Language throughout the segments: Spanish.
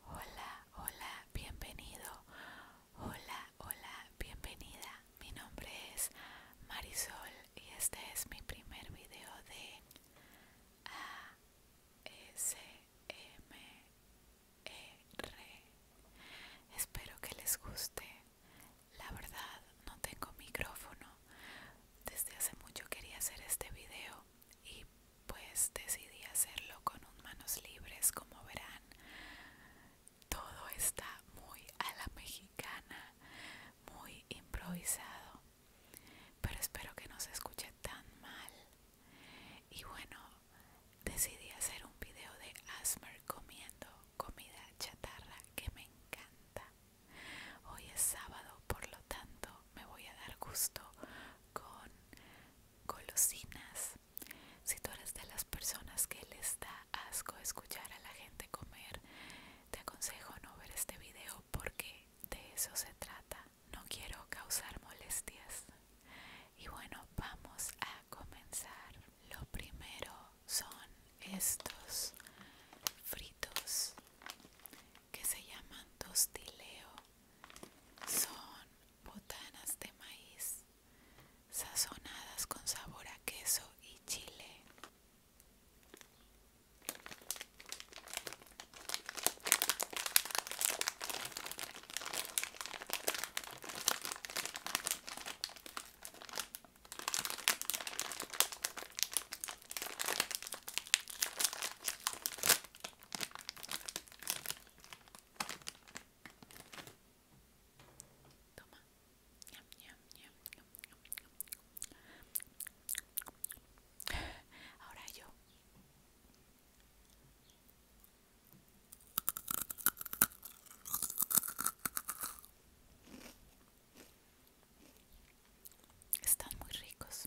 Hola, hola, bienvenido. Hola, hola, bienvenida. Mi nombre es Marisol y este es mi primer video de ASMR. Espero que les guste. La verdad, no tengo micrófono. Desde hace mucho quería hacer este video y pues decidí hacerlo con un manos libres como verán todo está muy a la mexicana muy improvisado pero espero que no se escuche tan mal y bueno decidí hacer un video de asmer comiendo comida chatarra que me encanta hoy es sábado por lo tanto me voy a dar gusto con golosinas. Si tú eres de las personas que les da asco escuchar a la gente comer, te aconsejo no ver este video porque de eso se trata. No quiero causar molestias. Y bueno, vamos a comenzar. Lo primero son estos fritos que se llaman tostileo son botanas de maíz sazonadas con sabor a queso y chile. Toma. ñam, ñam, ñam. Ahora yo. Están muy ricos.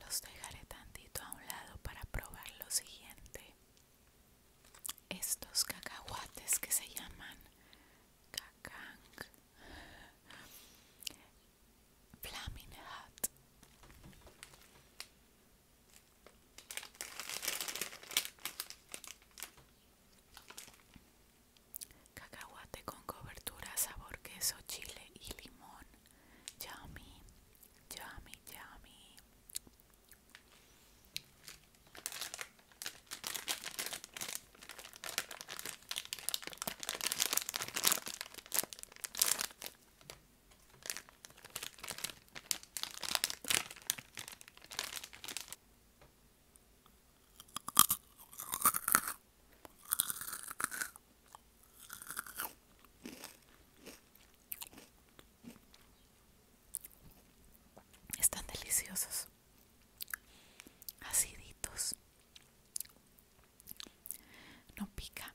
Los dejaré tantito a un lado para probar lo siguiente. Estos cacahuates que se llaman Cacang flamina Hat Cacahuate con cobertura, sabor queso, chile y limón. Yummy, yummy, yummy. Están deliciosos aciditos no pica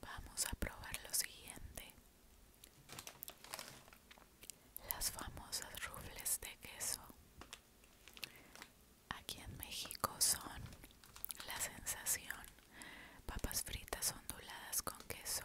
Vamos a probar lo siguiente. Las famosas rufles de queso. Aquí en México son la sensación. Papas fritas onduladas con queso.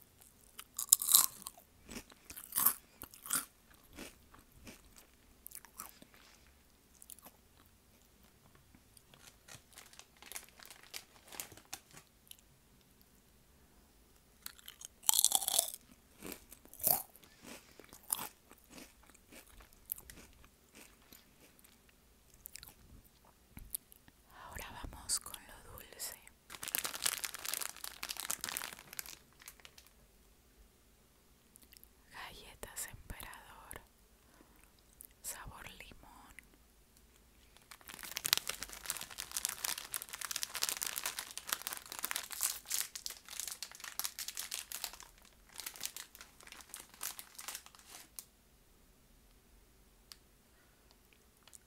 Ahora vamos con lo dulce. Galletas emperador, sabor limón.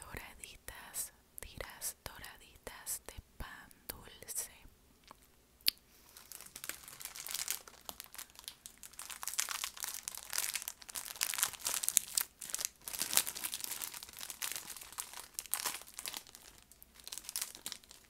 doraditas tiras doraditas de pan dulce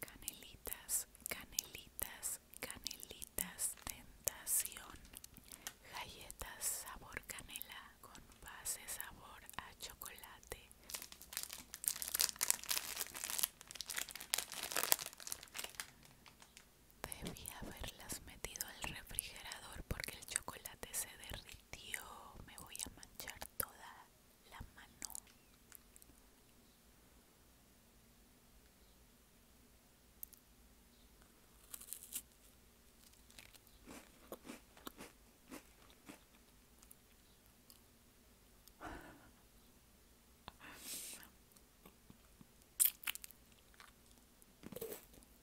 Canelitas, canelitas, canelitas, tentación. Galletas sabor canela con base sabor a chocolate. Debí haberlas metido al refrigerador porque el chocolate se derrite tío me voy a manchar toda la mano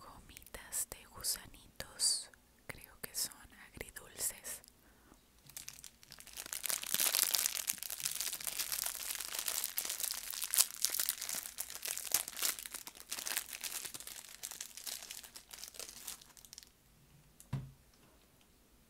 Gomitas de gusanitos, creo que son agridulces.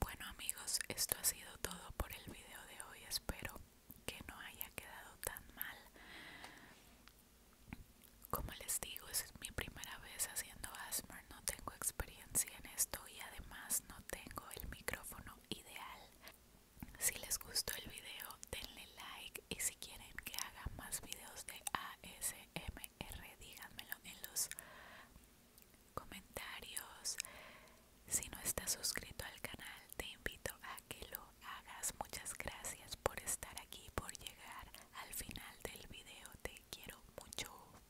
Bueno amigos, esto ha sido todo por el video de hoy. Espero que no haya quedado tan mal. Como les digo, es mi primera vez haciendo ASMR, no tengo experiencia en esto y además no tengo el micrófono ideal. Si les gustó el video, denle like y si quieren que haga más videos de ASMR díganmelo en los comentarios. Si no estás suscrito al canal te invito a que lo hagas. Muchas gracias por estar aquí, por llegar al final del video. Te quiero mucho.